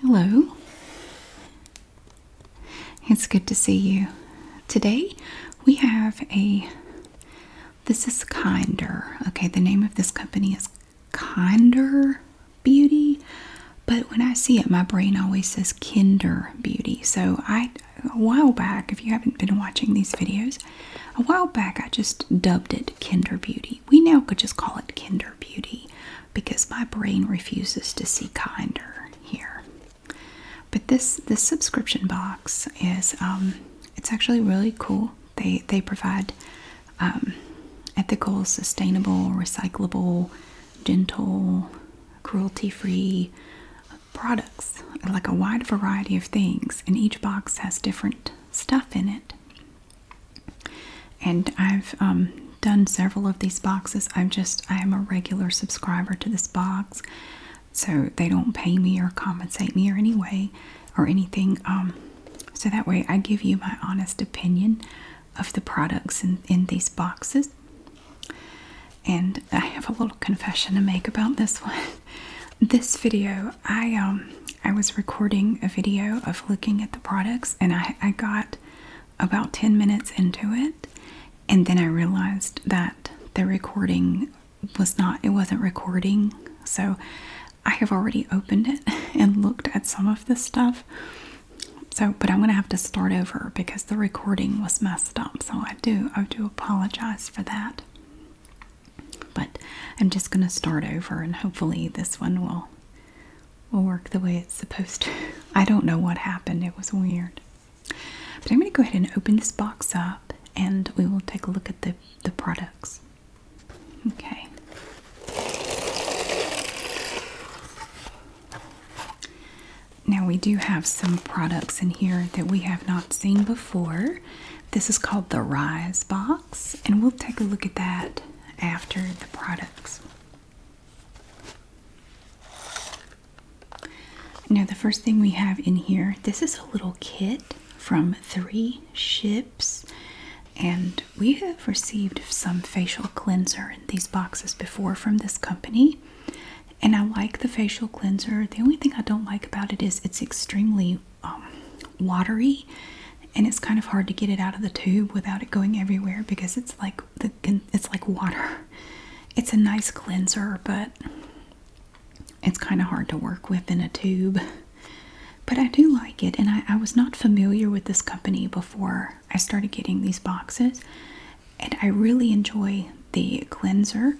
Hello. It's good to see you. Today we have a this is Kinder. Okay, the name of this company is Kinder Beauty, but when I see it my brain always says Kinder Beauty. So I a while back, if you haven't been watching these videos, a while back I just dubbed it Kinder Beauty we now could just call it kinder beauty because my brain refuses to see kinder here. But this this subscription box is um, it's actually really cool. They they provide um, ethical, sustainable, recyclable, gentle, cruelty-free products, like a wide variety of things, and each box has different stuff in it. And I've um, done several of these boxes. I'm just, I am a regular subscriber to this box. So they don't pay me or compensate me or any way or anything. Um, so that way I give you my honest opinion of the products in these boxes. And I have a little confession to make about this one. This video, I um I was recording a video of looking at the products, and I, got about 10 minutes into it, and then I realized that the recording was not, it wasn't recording. So I have already opened it and looked at some of the stuff. So, but I'm going to have to start over because the recording was messed up. So I do, I do apologize for that. But I'm just going to start over and hopefully this one will will work the way it's supposed to. I don't know what happened. It was weird. But I'm going to go ahead and open this box up and we will take a look at the the products. Okay. Now we do have some products in here that we have not seen before. This is called the Rise box and we'll take a look at that after the products. Now, the first thing we have in here, this is a little kit from three ships, and we have received some facial cleanser in these boxes before from this company. And I like the facial cleanser. The only thing I don't like about it is it's extremely um, watery and it's kind of hard to get it out of the tube without it going everywhere because it's like the it's like water. It's a nice cleanser, but it's kind of hard to work with in a tube. But I do like it, and I was not familiar with this company before I started getting these boxes, and I really enjoy the cleanser.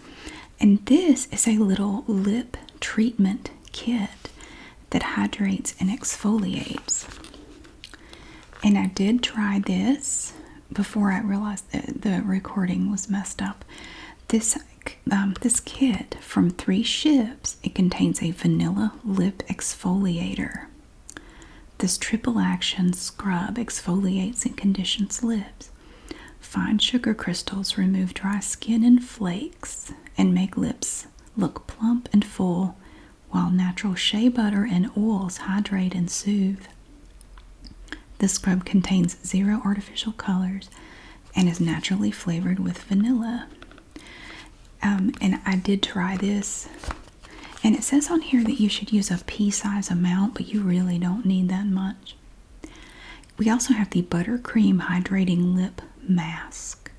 And this is a little lip treatment kit that hydrates and exfoliates. And I did try this before I realized that the recording was messed up. This um, this kit from Three Ships it contains a vanilla lip exfoliator. This triple action scrub exfoliates and conditions lips. Fine sugar crystals remove dry skin and flakes and make lips look plump and full, while natural shea butter and oils hydrate and soothe. This scrub contains zero artificial colors and is naturally flavored with vanilla. Um, and I did try this, and it says on here that you should use a pea size amount, but you really don't need that much. We also have the Buttercream Hydrating Lip Mask.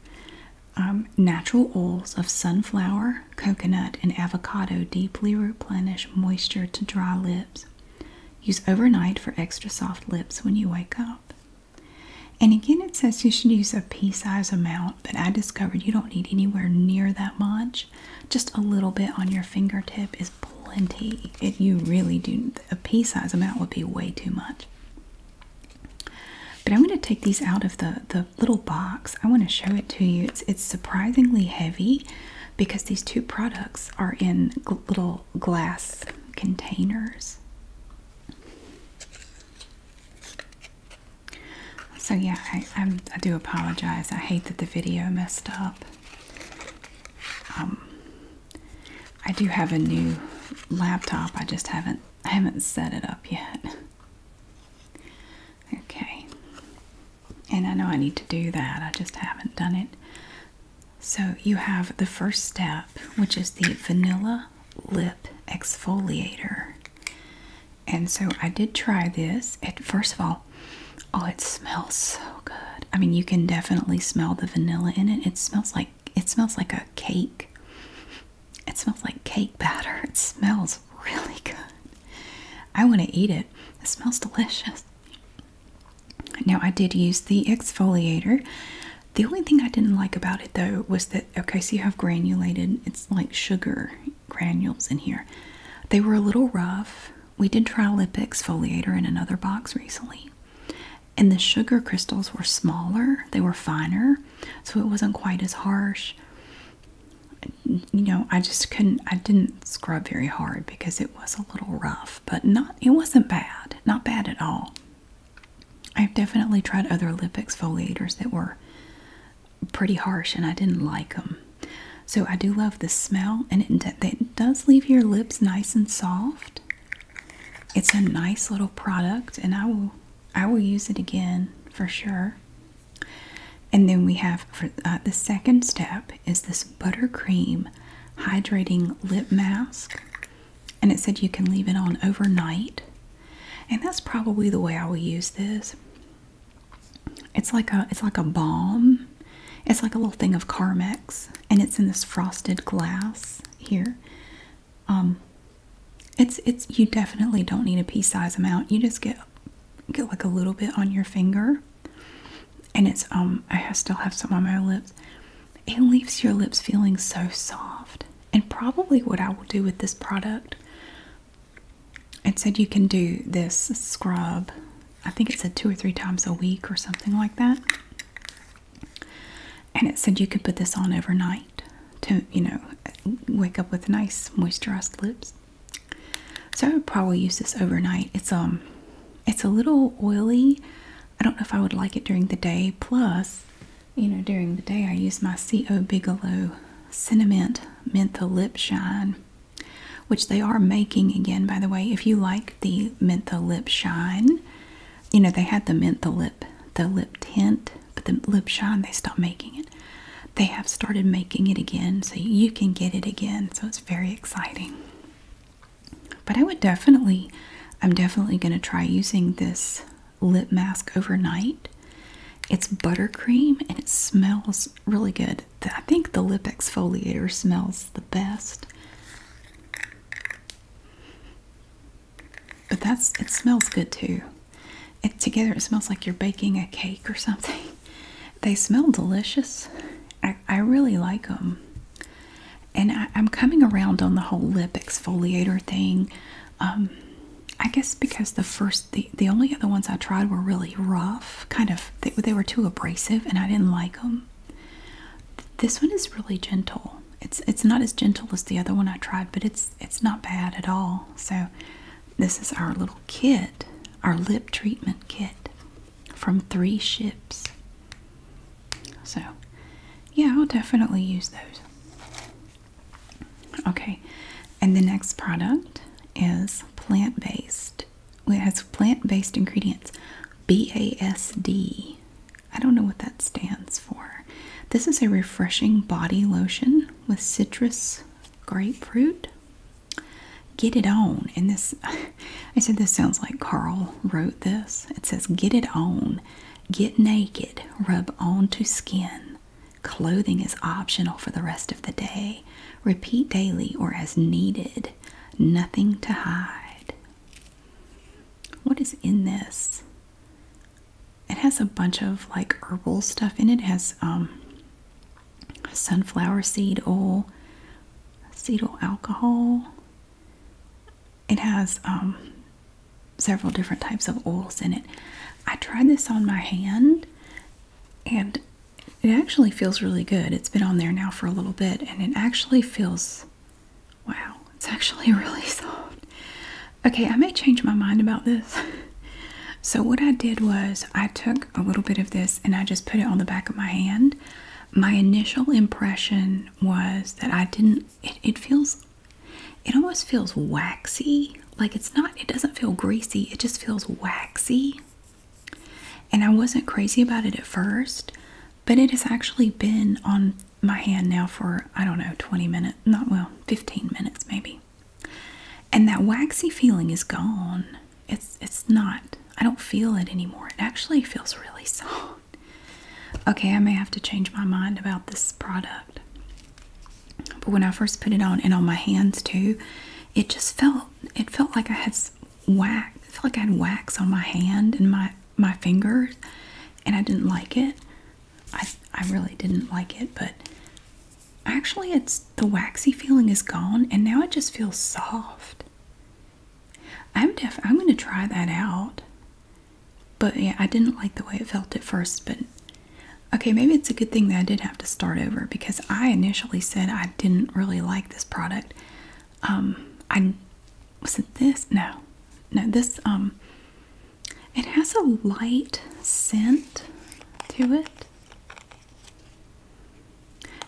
Um, natural oils of sunflower, coconut, and avocado deeply replenish moisture to dry lips. Use overnight for extra soft lips when you wake up. And again, it says you should use a pea size amount, but I discovered you don't need anywhere near that much. Just a little bit on your fingertip is plenty. you really do, a pea size amount would be way too much. But I'm going to take these out of the the little box. I want to show it to you. It's surprisingly heavy because these two products are in little glass containers. So yeah, I, do apologize. I hate that the video messed up. Um, I do have a new laptop. I just haven't I haven't set it up yet. Okay. And I know I need to do that. I just haven't done it. So you have the first step, which is the vanilla lip exfoliator. And so I did try this. It first of all, oh, it smells so good. I mean, you can definitely smell the vanilla in it. It smells like it smells like a cake. It smells like cake batter. It smells really good. I want to eat it. It smells delicious. Now, I did use the exfoliator. The only thing I didn't like about it though was that, okay, so you have granulated, it's like sugar granules in here. They were a little rough. We did try lip exfoliator in another box recently, and the sugar crystals were smaller, they were finer, so it wasn't quite as harsh. You know, I just couldn't, I didn't scrub very hard because it was a little rough, but not, it wasn't bad, not bad at all. I've definitely tried other lip exfoliators that were pretty harsh and I didn't like them. So I do love the smell and it, it does leave your lips nice and soft. It's a nice little product and I will I will use it again for sure. And then we have uh, the second step is this buttercream hydrating lip mask. And it said you can leave it on overnight. And that's probably the way I will use this. It's like a it's like a balm. It's like a little thing of Carmex and it's in this frosted glass here. Um, it's it's you definitely don't need a pea size amount. You just get get like a little bit on your finger, and it's um I still have some on my lips. It leaves your lips feeling so soft. And probably what I will do with this product. It said you can do this scrub. I think it said two or three times a week or something like that and it said you could put this on overnight to you know wake up with nice moisturized lips so i would probably use this overnight it's um it's a little oily i don't know if i would like it during the day plus you know during the day i use my co bigelow cinnamon menthol lip shine which they are making again by the way if you like the menthol lip shine. You know, they had the menthol lip, the lip tint, but the lip shine, they stopped making it. They have started making it again, so you can get it again. So it's very exciting. But I would definitely, I'm definitely going to try using this lip mask overnight. It's buttercream and it smells really good. I think the lip exfoliator smells the best. But that's it smells good too. together it smells like you're baking a cake or something. They smell delicious. I, I really like them. And I, am coming around on the whole lip exfoliator thing. Um, I guess because the first, the, the only other ones I tried were really rough, kind of, they were too abrasive and I didn't like them. This one is really gentle. It's it's not as gentle as the other one I tried, but it's it's not bad at all. So this is our little kit, our lip treatment kit from three ships. So yeah, I'll definitely use those. Okay, and the next product is plant-based. It has plant-based ingredients, BASD. I don't know what that stands for. This is a refreshing body lotion with citrus grapefruit. Get it on. And this, I said this sounds like Carl wrote this. It says, Get it on. Get naked. Rub onto skin. Clothing is optional for the rest of the day. Repeat daily or as needed. Nothing to hide. What is in this? It has a bunch of like herbal stuff in it. has um, sunflower seed oil, acetyl alcohol. It has um, several different types of oils in it. I tried this on my hand and it actually feels really good. It's been on there now for a little bit and it actually feels Wow, it's actually really soft. Okay, I may change my mind about this. so, what I did was I took a little bit of this and I just put it on the back of my hand. My initial impression was that I didn't, it, feels, it almost feels waxy. Like it's not, it doesn't feel greasy, it just feels waxy. And I wasn't crazy about it at first, but it has actually been on my hand now for I don't know 20 minutes, not well, 15 minutes maybe. And that waxy feeling is gone. It's it's not. I don't feel it anymore. It actually feels really soft. Okay, I may have to change my mind about this product. But when I first put it on and on my hands too, it just felt it felt like I had wax. I felt like I had wax on my hand and my my fingers, and I didn't like it. I I really didn't like it, but actually, it's the waxy feeling is gone, and now it just feels soft. I'm def. I'm going to try that out. But yeah, I didn't like the way it felt at first, but okay, maybe it's a good thing that I did have to start over because I initially said I didn't really like this product. Um, I was it this? No, no, this, um, it has a light scent to it.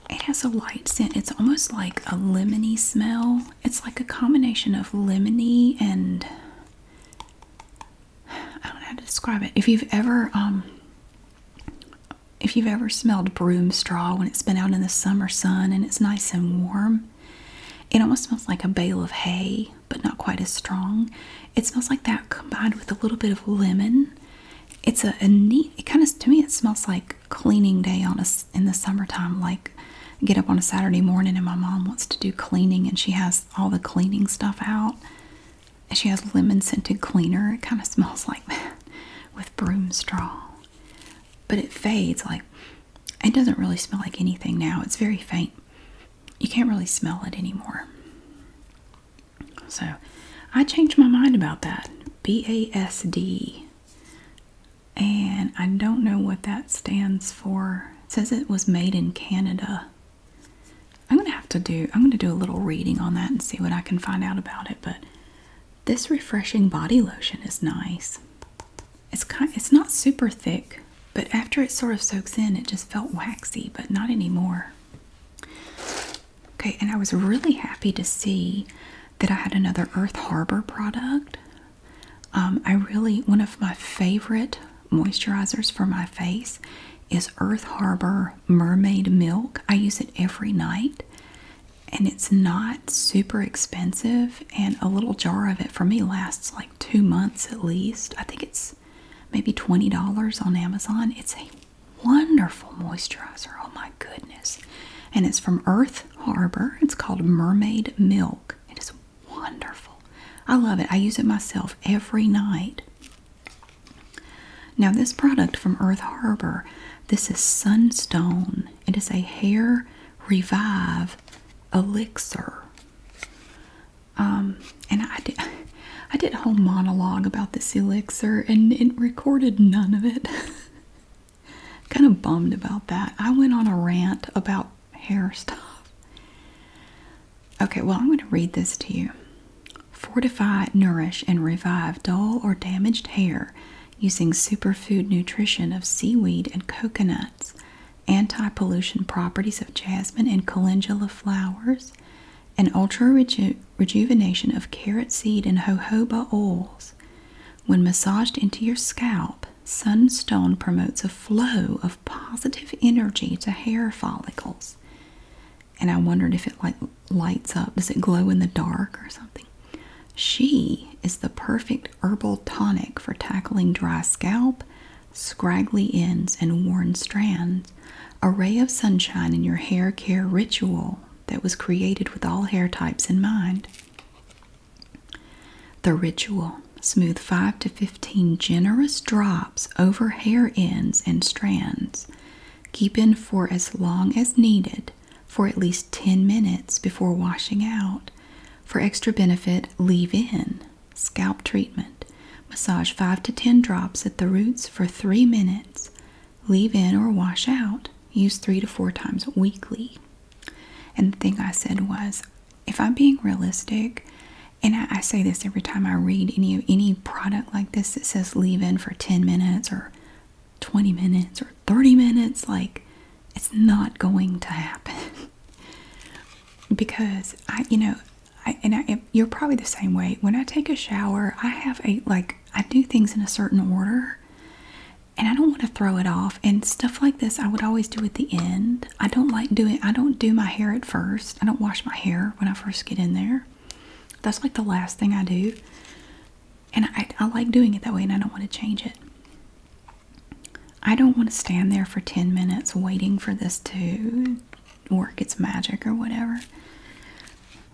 It has a light scent. It's almost like a lemony smell. It's like a combination of lemony and I don't know how to describe it. If you've ever um if you've ever smelled broom straw when it's been out in the summer sun and it's nice and warm, it almost smells like a bale of hay, but not quite as strong. It smells like that combined with a little bit of lemon. It's a, neat, it kind of, to me, it smells like cleaning day on a in the summertime. Like, I get up on a Saturday morning and my mom wants to do cleaning and she has all the cleaning stuff out. And she has lemon scented cleaner. It kind of smells like that with broom straw but it fades like it doesn't really smell like anything now. It's very faint. You can't really smell it anymore. So I changed my mind about that. BASD. And I don't know what that stands for. says it was made in Canada. I'm gonna have to do I'm gonna do a little reading on that and see what I can find out about it, but this refreshing body lotion is nice. It's kind it's not super thick, but after it sort of soaks in, it just felt waxy, but not anymore. Okay, and I was really happy to see that I had another Earth Harbor product. Um, I really, one of my favorite moisturizers for my face is Earth Harbor Mermaid Milk. I use it every night and it's not super expensive and a little jar of it for me lasts like two months at least i think it's maybe $20 on amazon it's a wonderful moisturizer oh my goodness and it's from earth harbor it's called mermaid milk it is wonderful i love it i use it myself every night now this product from earth harbor this is sunstone it is a hair revive elixir. Um, and I did, I did a whole monologue about this elixir and it recorded none of it. kind of bummed about that. I went on a rant about hair stuff. Okay, well, I'm going to read this to you. Fortify, nourish, and revive dull or damaged hair using superfood nutrition of seaweed and coconuts, anti pollution properties of jasmine and calendula flowers, and ultra rejuvenation of carrot seed and jojoba oils. When massaged into your scalp, Sunstone promotes a flow of positive energy to hair follicles. And I wondered if it like lights up? Does it glow in the dark or something? She is the perfect herbal tonic for tackling dry scalp, scraggly ends, and worn strands. A ray of sunshine in your hair care ritual that was created with all hair types in mind. The ritual smooth 5 to 15 generous drops over hair ends and strands. Keep in for as long as needed for at least 10 minutes before washing out. For extra benefit, leave in scalp treatment. Massage 5 to 10 drops at the roots for 3 minutes. Leave in or wash out. Use 3 to 4 times weekly. And the thing I said was if I'm being realistic, and I, say this every time I read any any product like this that says leave in for 10 minutes or 20 minutes or 30 minutes. Like, it's not going to happen. because I, you know, and I, you're probably the same way. When I take a shower, I have a, like, I do things in a certain order and I don't want to throw it off. And stuff like this, I would always do at the end. I don't like doing, I don't do my hair at first. I don't wash my hair when I first get in there. That's like the last thing I do. And I, I like doing it that way, and I don't want to change it. I don't want to stand there for 10 minutes waiting for this to work its magic or whatever.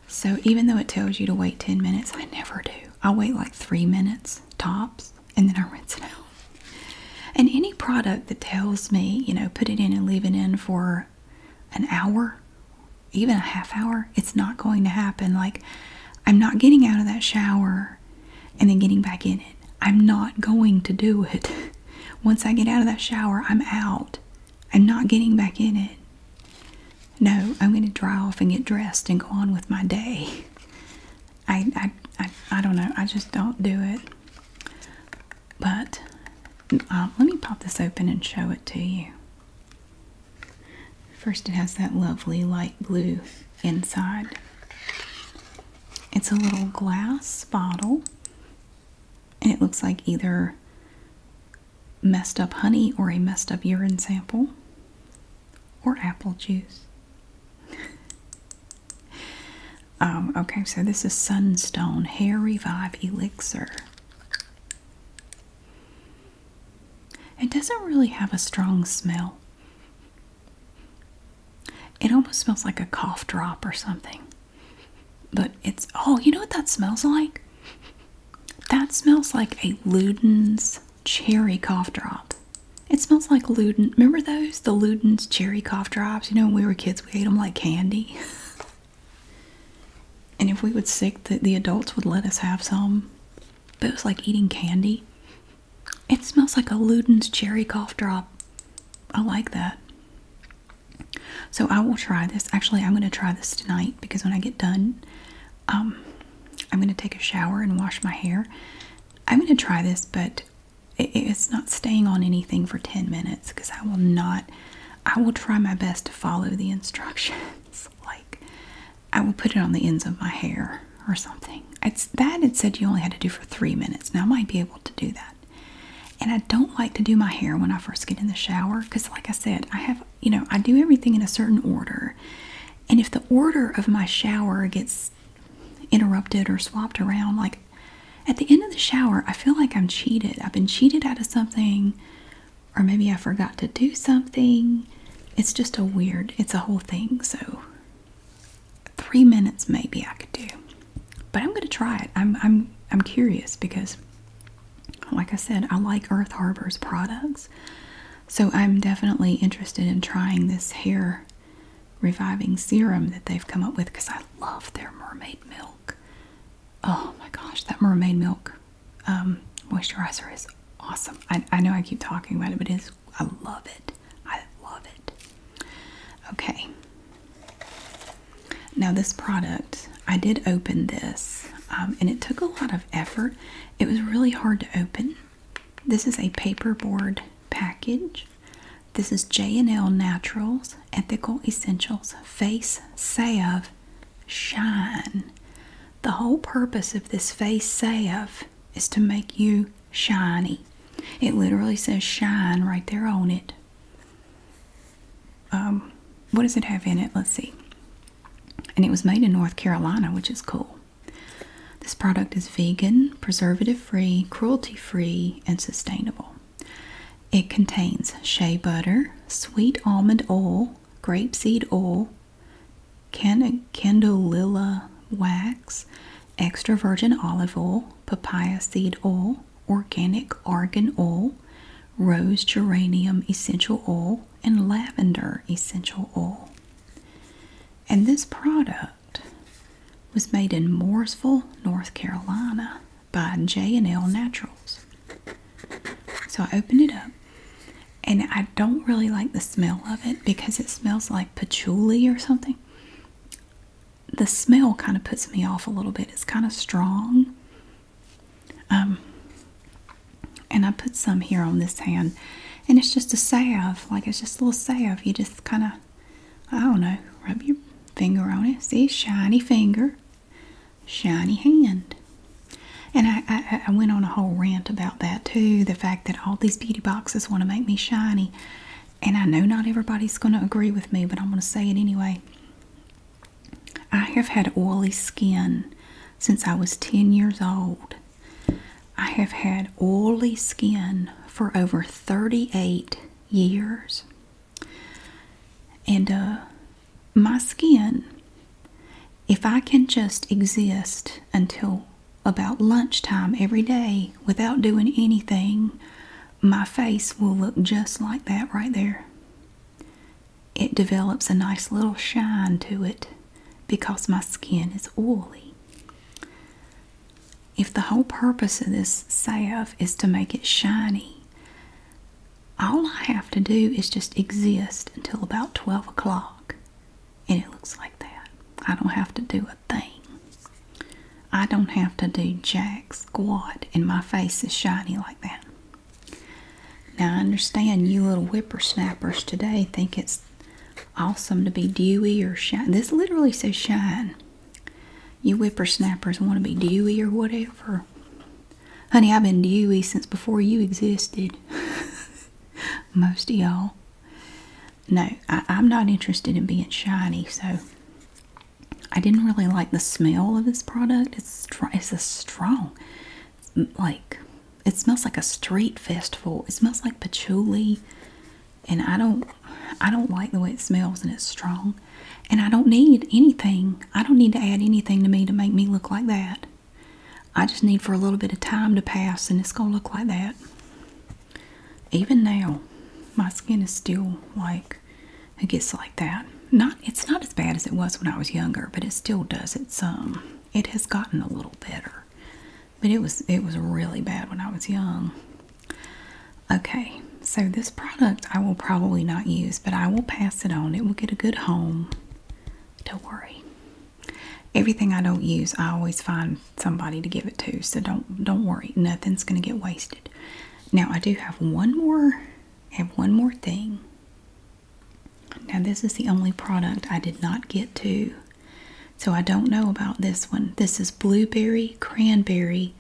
So, even though it tells you to wait 10 minutes, I never do. I wait like three minutes tops and then I rinse it out. And any product that tells me, you know, put it in and leave it in for an hour even a half hour, it's not going to happen. Like, I'm not getting out of that shower and then getting back in it. I'm not going to do it. Once I get out of that shower, I'm out. I'm not getting back in it. No, I'm going to dry off and get dressed and go on with my day. I, I, I, don't know. I just don't do it. But uh, let me pop this open and show it to you. First, it has that lovely light blue inside. It's a little glass bottle, and it looks like either messed up honey or a messed up urine sample or apple juice. Um, okay, so this is Sunstone Hair Revive Elixir. It doesn't really have a strong smell. It almost smells like a cough drop or something. But it's, oh, you know what that smells like? That smells like a Luden's cherry cough drop. It smells like Luden. Remember those? The Luden's cherry cough drops? You know, when we were kids, we ate them like candy. And if we would sick, the, the adults would let us have some. But it was like eating candy. It smells like a Luden's cherry cough drop. I like that. So I will try this. Actually, I'm going to try this tonight because when I get done, um, I'm going to take a shower and wash my hair. I'm going to try this, but it's not staying on anything for 10 minutes because I will not I will try my best to follow the instructions. like, I will put it on the ends of my hair or something. It's that it said you only had to do for three minutes. Now I might be able to do that. And I don't like to do my hair when I first get in the shower because, like I said, I have you know I do everything in a certain order, and if the order of my shower gets interrupted or swapped around, like at the end of the shower, I feel like I'm cheated. I've been cheated out of something, or maybe I forgot to do something. It's just a weird, it's a whole thing. So, three minutes maybe I could do, but I'm going to try it. I'm, I'm, I'm curious because, like I said, I like Earth Harbor's products. So, I'm definitely interested in trying this hair reviving serum that they've come up with because I love their mermaid milk oh my gosh, that mermaid milk um, moisturizer is awesome. I, I know I keep talking about it, but it's I love it. I love it. Okay. Now this product, I did open this, um, and it took a lot of effort. It was really hard to open. This is a paperboard package. This is J&L Naturals Ethical Essentials Face Salve shine. The whole purpose of this face salve is to make you shiny. It literally says shine right there on it. Um, what does it have in it? Let's see. And it was made in North Carolina, which is cool. This product is vegan, preservative free, cruelty free, and sustainable. It contains shea butter, sweet almond oil, grapeseed oil, can candelilla wax, extra virgin olive oil, papaya seed oil, organic argan oil, rose geranium essential oil, and lavender essential oil. And this product was made in Mooresville, North Carolina by J&L Naturals. So I opened it up and I don't really like the smell of it because it smells like patchouli or something. The smell kind of puts me off a little bit. It's kind of strong. Um, and I put some here on this hand. And it's just a salve. Like it's just a little salve. You just kind of, I don't know, rub your finger on it. See, shiny finger shiny hand. And I, went on a whole rant about that too the fact that all these beauty boxes want to make me shiny. And I know not everybody's going to agree with me, but I'm going to say it anyway. I have had oily skin since I was 10 years old. I have had oily skin for over 38 years. And uh, my skin, if I can just exist until about lunchtime every day without doing anything, my face will look just like that right there. It develops a nice little shine to it because my skin is oily. If the whole purpose of this salve is to make it shiny, all I have to do is just exist until about 12 o'clock. And it looks like that. I don't have to do a thing. I don't have to do jack squat, and my face is shiny like that. Now, I understand you little whippersnappers today think it's awesome to be dewy or shine. This literally says shine. You whippersnappers want to be dewy or whatever. Honey, I've been to Dewey since before you existed. Most of y'all. No, I, I'm not interested in being shiny, so I didn't really like the smell of this product. It's it's a strong, like it smells like a street festival. It smells like patchouli, and I don't I don't like the way it smells, and it's strong, and I don't need anything I don't need to add anything to me to make me look like that. I just need for a little bit of time to pass and it's going to look like that. Even now, my skin is still like it gets like that. Not it's not as bad as it was when I was younger, but it still does It's um, It has gotten a little better. But it was it was really bad when I was young. Okay, so this product I will probably not use, but I will pass it on. It will get a good home. Don't worry. Everything I don't use, I always find somebody to give it to. So don't don't worry. Nothing's gonna get wasted. Now I do have one more have one more thing. Now this is the only product I did not get to. So I don't know about this one. This is blueberry cranberry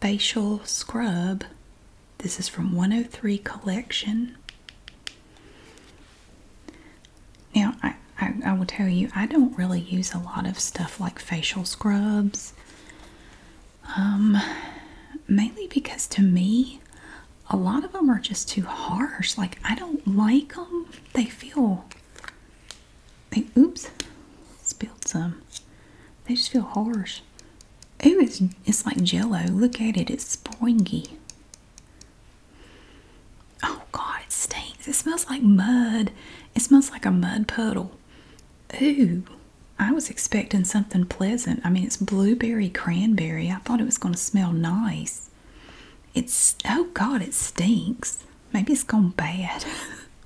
facial scrub this is from 103 Collection. Now, I, I, will tell you, I don't really use a lot of stuff like facial scrubs. Um, mainly because to me, a lot of them are just too harsh. Like, I don't like them. They feel, they, oops, spilled some. They just feel harsh. Ooh, it's, it's like jello. Look at it. It's springy. Oh, God, it stinks. It smells like mud. It smells like a mud puddle. Ooh, I was expecting something pleasant. I mean, it's blueberry cranberry. I thought it was going to smell nice. It's, oh, God, it stinks. Maybe it's gone bad.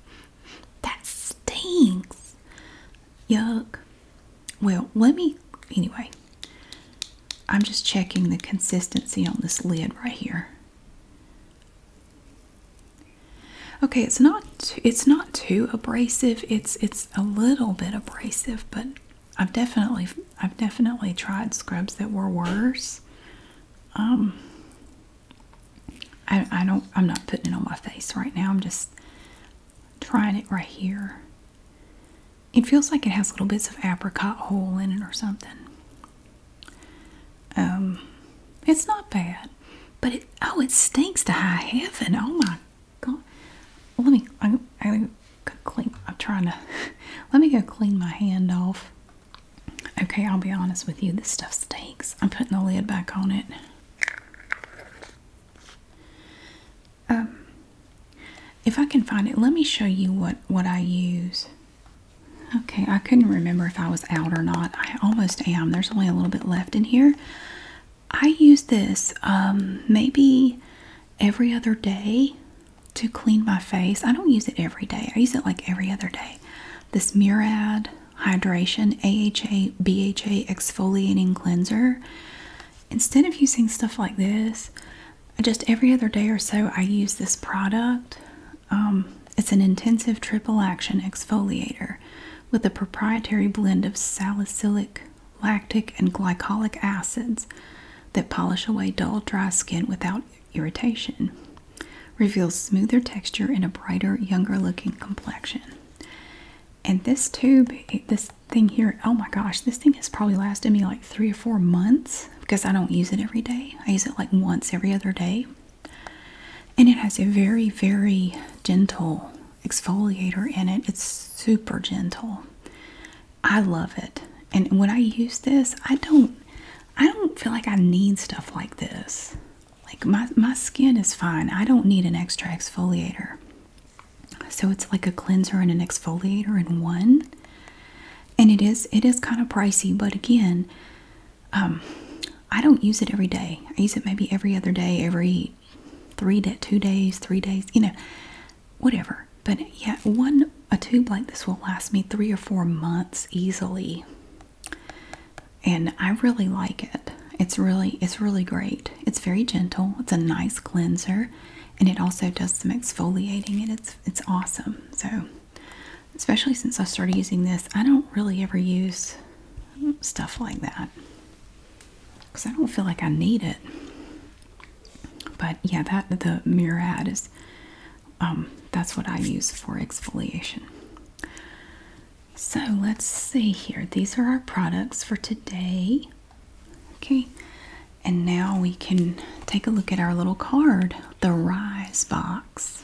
that stinks. Yuck. Well, let me, anyway, I'm just checking the consistency on this lid right here. Okay, it's not it's not too abrasive. It's it's a little bit abrasive, but I've definitely I've definitely tried scrubs that were worse. Um, I I don't I'm not putting it on my face right now. I'm just trying it right here. It feels like it has little bits of apricot hole in it or something. Um, it's not bad, but it oh, it stinks to high heaven. Oh my god! let me. I, am I clean. I'm trying to. Let me go clean my hand off. Okay, I'll be honest with you. This stuff stinks. I'm putting the lid back on it. Um, if I can find it, let me show you what what I use. Okay, I couldn't remember if I was out or not. I almost am. There's only a little bit left in here. I use this um, maybe every other day to clean my face. I don't use it every day. I use it like every other day. This Murad Hydration AHA BHA Exfoliating Cleanser instead of using stuff like this, just every other day or so, I use this product. Um, it's an intensive triple action exfoliator with a proprietary blend of salicylic, lactic, and glycolic acids that polish away dull, dry skin without irritation, reveals smoother texture and a brighter, younger looking complexion. And this tube, this thing here, oh my gosh, this thing has probably lasted me like three or four months because I don't use it every day. I use it like once every other day. And it has a very, very gentle exfoliator in it. It's super gentle. I love it. And when I use this, I don't I don't feel like I need stuff like this. Like my my skin is fine. I don't need an extra exfoliator. So it's like a cleanser and an exfoliator in one. And it is it is kind of pricey, but again, um, I don't use it every day. I use it maybe every other day, every three day, two days, three days, you know, whatever. But yeah, one a tube like this will last me three or four months easily. And I really like it. It's really it's really great. It's very gentle. It's a nice cleanser and it also does some exfoliating and it's it's awesome. So especially since I started using this, I don't really ever use stuff like that because I don't feel like I need it. But yeah, that the Murad is um, that's what I use for exfoliation. So let's see here. These are our products for today. Okay, and now we can take a look at our little card the Rise box.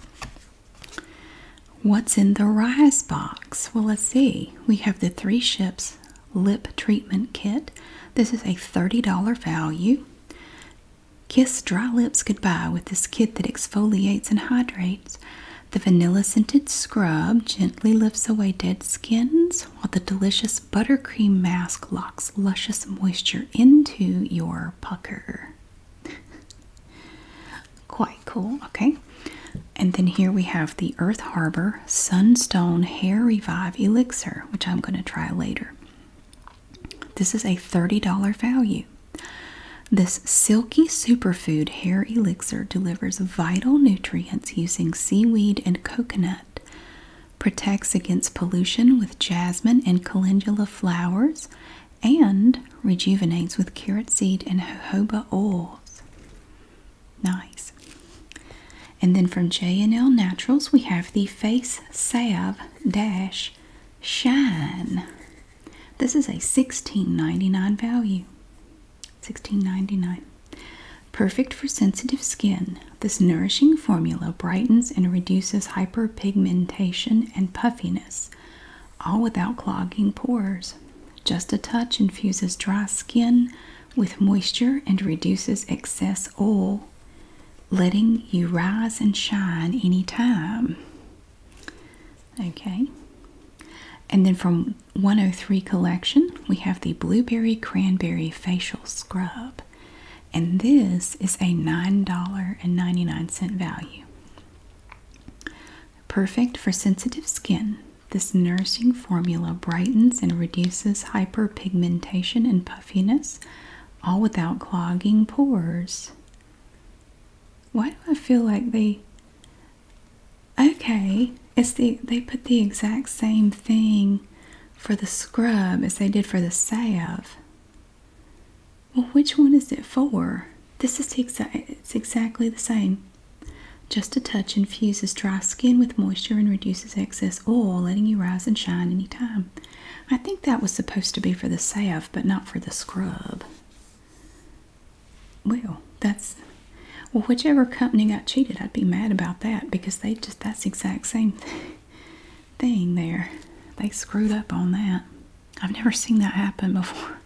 What's in the Rise box? Well, let's see. We have the Three Ships Lip Treatment Kit. This is a $30 value. Kiss dry lips goodbye with this kit that exfoliates and hydrates the vanilla scented scrub gently lifts away dead skins, while the delicious buttercream mask locks luscious moisture into your pucker. Quite cool, okay. And then here we have the Earth Harbor Sunstone Hair Revive Elixir, which I'm going to try later. This is a $30 value. This silky superfood hair elixir delivers vital nutrients using seaweed and coconut. Protects against pollution with jasmine and calendula flowers and rejuvenates with carrot seed and jojoba oils. Nice. And then from J&L Naturals we have the Face Salve Dash Shine. This is a $16.99 value. Sixteen ninety nine, Perfect for sensitive skin, this nourishing formula brightens and reduces hyperpigmentation and puffiness, all without clogging pores. Just a touch infuses dry skin with moisture and reduces excess oil, letting you rise and shine anytime. Okay. And then from 103 collection, we have the Blueberry Cranberry Facial Scrub, and this is a $9.99 value. Perfect for sensitive skin, this nourishing formula brightens and reduces hyperpigmentation and puffiness, all without clogging pores. Why do I feel like they Okay, it's the they put the exact same thing for the scrub as they did for the salve. Well, which one is it for? This is exa it's exactly the same. Just a touch infuses dry skin with moisture and reduces excess oil, letting you rise and shine anytime. I think that was supposed to be for the salve, but not for the scrub well, that's well, whichever company got cheated, I'd be mad about that because they just that's the exact same thing there. They screwed up on that. I've never seen that happen before.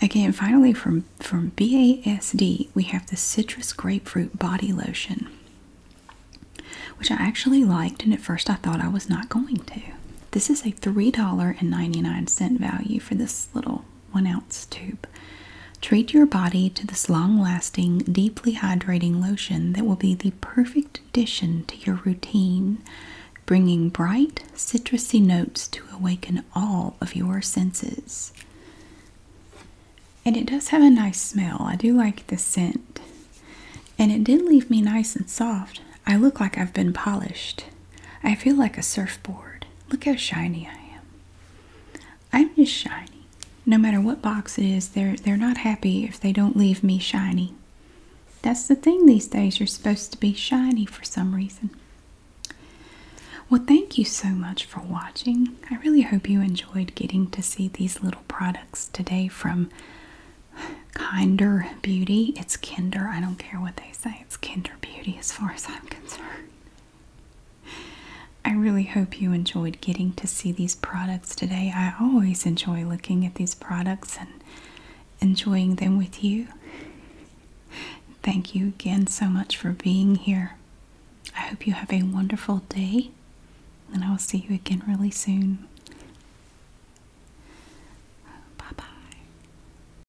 Again, finally from from BASD, we have the citrus grapefruit body lotion, which I actually liked, and at first I thought I was not going to. This is a $3.99 value for this little 1 ounce tube. Treat your body to this long lasting, deeply hydrating lotion that will be the perfect addition to your routine, bringing bright, citrusy notes to awaken all of your senses. And it does have a nice smell. I do like the scent. And it did leave me nice and soft. I look like I've been polished. I feel like a surfboard. Look how shiny I am. I'm just shiny. No matter what box it is, they're they're not happy if they don't leave me shiny. That's the thing these days, you're supposed to be shiny for some reason. Well, thank you so much for watching. I really hope you enjoyed getting to see these little products today from Kinder Beauty. It's Kinder, I don't care what they say it's Kinder Beauty as far as I'm concerned. I really hope you enjoyed getting to see these products today. I always enjoy looking at these products and enjoying them with you. Thank you again so much for being here. I hope you have a wonderful day, and I will see you again really soon. Bye bye.